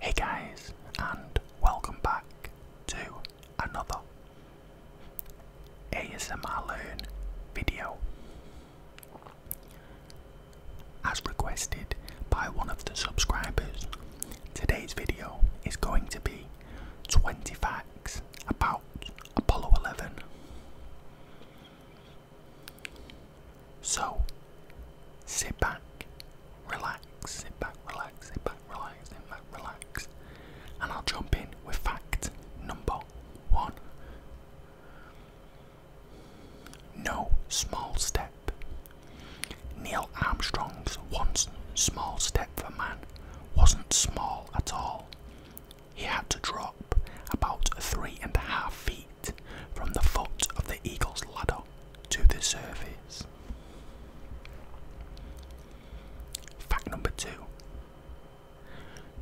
Hey guys, and welcome back to another ASMR Learn video. As requested by one of the subscribers, today's video is going to be 20 facts about Apollo 11. So, sit back, relax, sit back, relax, sit back, relax, sit back, relax, and I'll jump in with fact number one. No small step. Neil Armstrong's one small step for man wasn't small at all he had to drop about three and a half feet from the foot of the eagle's ladder to the surface. Fact number two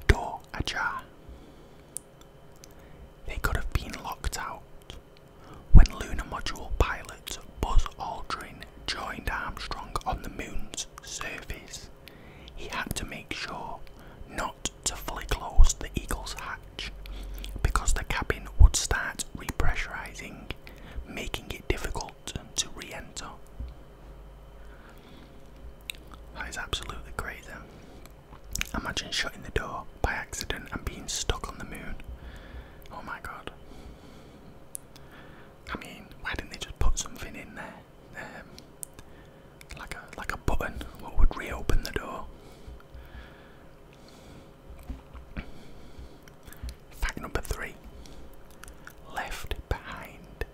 Door ajar. They could have been locked out when lunar module pilot Buzz Aldrin joined Armstrong on the moon's surface he had to make sure not to fully close the Eagle's hatch because the cabin would start repressurizing, making it difficult to re enter. That is absolutely crazy. Imagine shutting the door by accident and being stuck on the moon. Oh my god. I mean, why didn't they just put something in there? Um, like a like a button that would reopen the door. Fact number three. Left behind.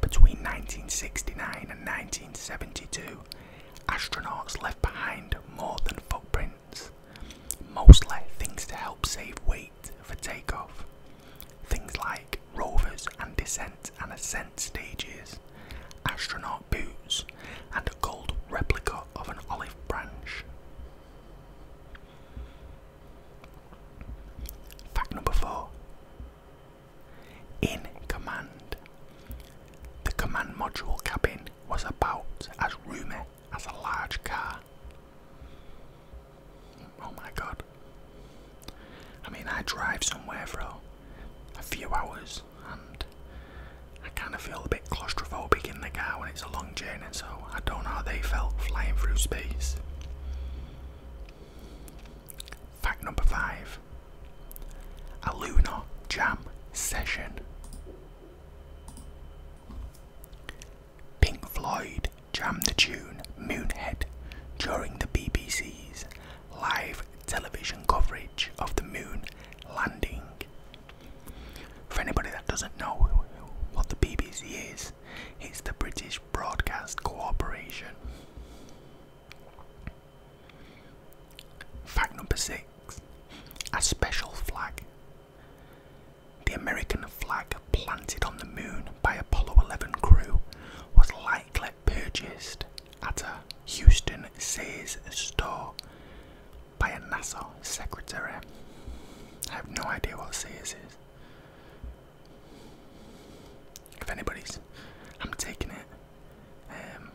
Between 1969 and 1972, astronauts left behind more than footprints, mostly things to help save weight for takeoff. Things like rovers and descent and ascent stages, astronaut boots, and a gold replica of an olive branch. Fact number four In command. The command module cabin was about as roomy as a large car Oh my god. I mean, I drive somewhere for a few hours and I kind of feel a bit claustrophobic in the car when it's a long journey, so I don't know how they felt flying through space. Fact number five a lunar jam session. Pink Floyd jammed the tune Moonhead during the BBC's live television coverage of the moon landing. For anybody that doesn't know what the BBC is, it's the British Broadcast Corporation. Fact number six a special flag the American flag planted on the moon by Apollo 11 crew was likely purchased at a Houston Sears store by a NASA secretary. I have no idea what Sears is. If anybody's, I'm taking it. Um,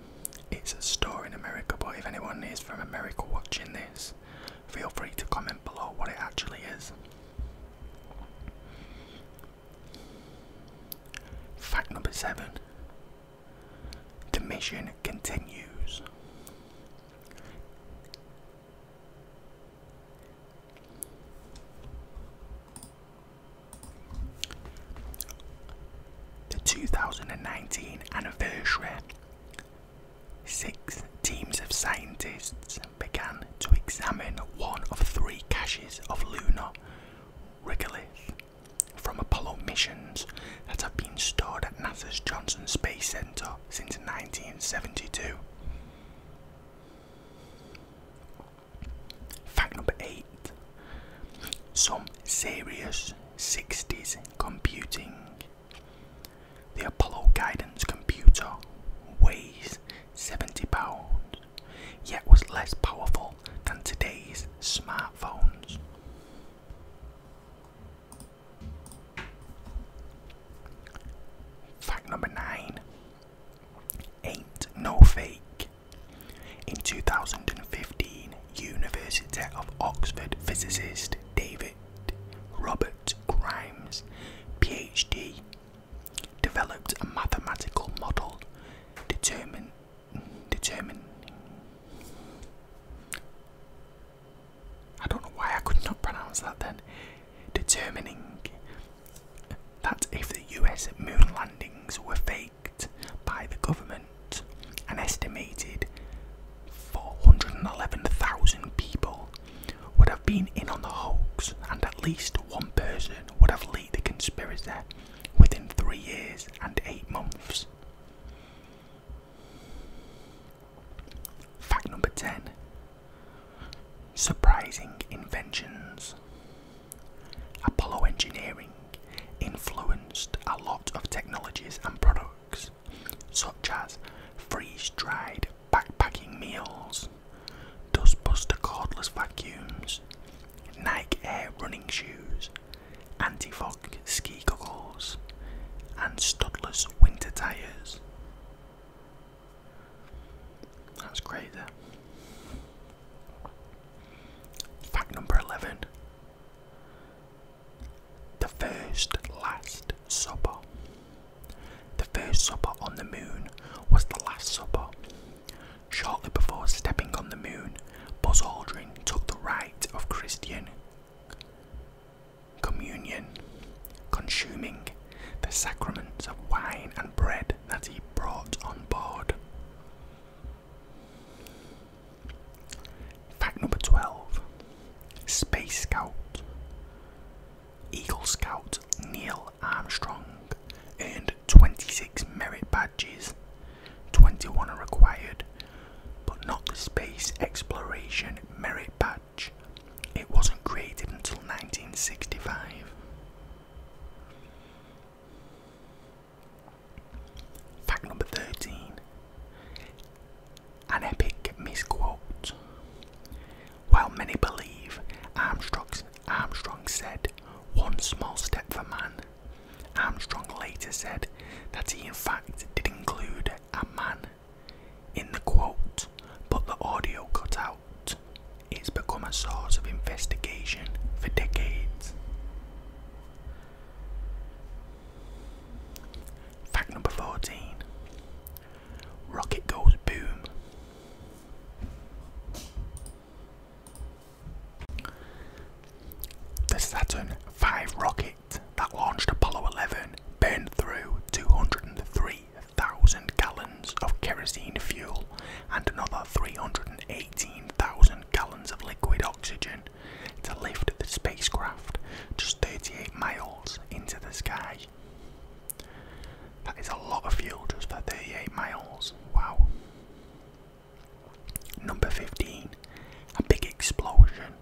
it's a store in America, but if anyone is from America watching this, feel free to comment below what it actually is. Fact number seven the mission continues. The 2019 anniversary Six teams of scientists began to examine one of three caches of lunar regolith from Apollo missions that have been stored at NASA's Johnson Space Center since 1972. Fact number 8 Some serious 60s computing the Apollo guidance computer weighs 70 pounds, yet was less powerful than today's smartphones. Fact number 9 Ain't No Fake. In 2015, University of Oxford physicist David Robert Grimes, PhD, developed a mathematical model determining determine, I don't know why I could not pronounce that then. Determining that if the US moon landings were faked by the government, an estimated 411,000 people would have been in on the hoax, and at least one person would have led the conspiracy within three years and eight months. Fact number 10 Surprising inventions. Apollo Engineering influenced a lot of technologies and products, such as freeze dried backpacking meals, dustbuster cordless vacuums, Nike Air running shoes, anti fog ski goggles, and studless winter tyres. That's crazy. Fact number 11 the First Last Supper. The First Supper on the Moon was the Last Supper. Shortly before stepping on the moon, Buzz Aldrin took the rite of Christian communion, consuming the sacraments of wine and bread that he brought on board. Fact number 12 Space Scout Eagle Scout Neil Armstrong earned 26 merit badges, 21 are required, but not the Space Exploration Merit Badge. It wasn't created until 1965. Fact number 13 An epic misquote. While many believe Armstrong said, one small step for man, Armstrong later said that he in fact did include a man in the quote, but the audio cut out. It's become a source of investigation for decades. Fact number 14 Rocket goes boom. The Saturn V rocket that launched Apollo 11 burned through 203,000 gallons of kerosene fuel and another 318,000 gallons of liquid oxygen to lift the spacecraft just 38 miles into the sky. That is a lot of fuel just for 38 miles. Wow. Number 15. A big explosion.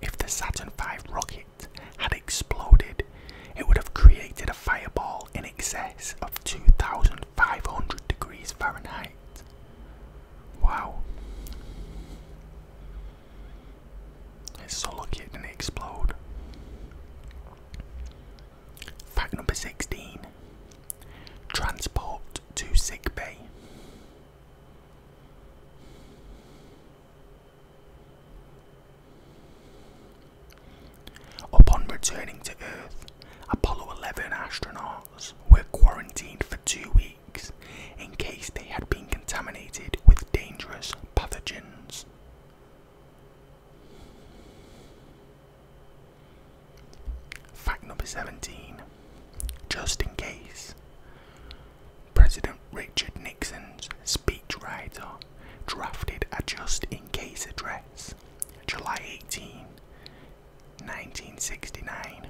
If the Saturn V rocket had exploded, it would have created a fireball in excess of 2,000 500 degrees Fahrenheit. Wow. It's so lucky it didn't explode. Fact number 16 Transport to sick bay. Upon returning to Earth, Apollo 11 astronauts were quarantined for two weeks in case they had been contaminated with dangerous pathogens. Fact number 17 Just in case. President Richard Nixon's speechwriter drafted a just in case address July 18, 1969,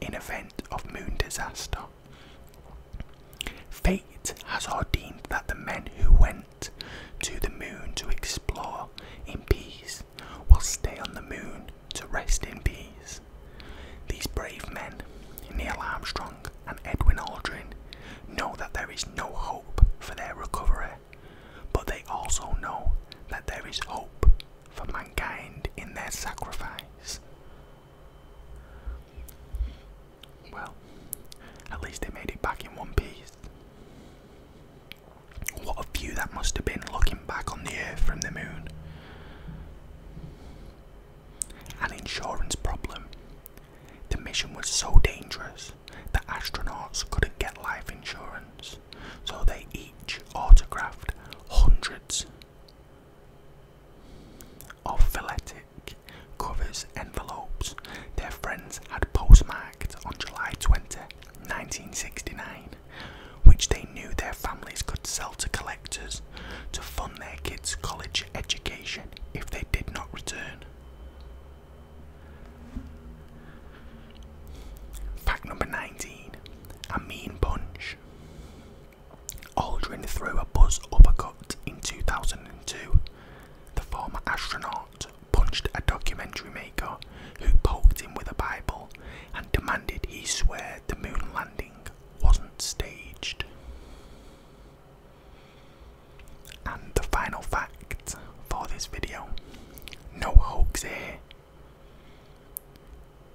in event of moon disaster. Fate has ordained that the men who went to the moon to explore in peace will stay on the moon to rest in peace. These brave men, Neil Armstrong and Edwin Aldrin, know that there is no hope for their recovery but they also know that there is hope for mankind in their sacrifice. Well, at least they made it back in one piece. What a view that must have been looking back on the Earth from the moon. An insurance problem the mission was so dangerous the astronauts couldn't get life insurance, so they each autographed hundreds of philetic covers envelopes their friends had postmarked on July 20, 1969, which they knew their families could sell to collectors to fund their kids' college education if they did not return. Fact number 19 A mean punch. Aldrin threw a buzz uppercut in 2002. The former astronaut punched a documentary maker who poked him with a Bible and demanded he swear the moon landing wasn't staged. And the final fact for this video no hoax here.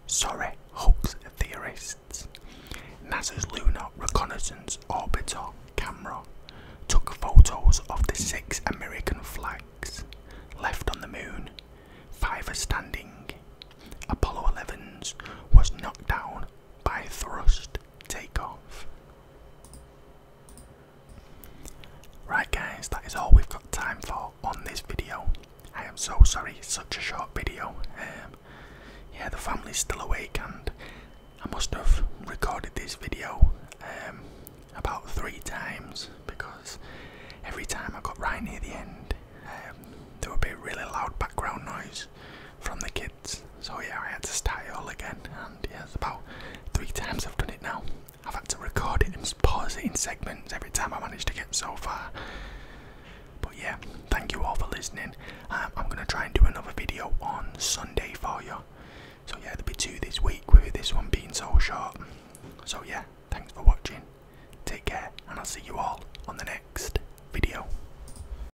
Sorry, hoax theorists. NASA's Lunar Reconnaissance Orbiter camera took photos of the six American flags left on the moon, five are standing. Apollo 11's was knocked down by thrust take off. Right guys, that is all we've got time for on this video. I am so sorry, such a short video. Um, yeah, the family's still awake and I must have recorded this video um, about three times because every time I got right near the end um, there would be really loud background noise from the kids. So yeah, I had to start it all again, and yeah, it's about three times I've done it now. I've had to record it and pause it in segments every time I managed to get so far. But yeah, thank you all for listening. Um, I'm gonna try and do another video on Sunday for you. So yeah, there'll be two this week with this one being so short. So yeah, thanks for watching. Take care, and I'll see you all on the next video.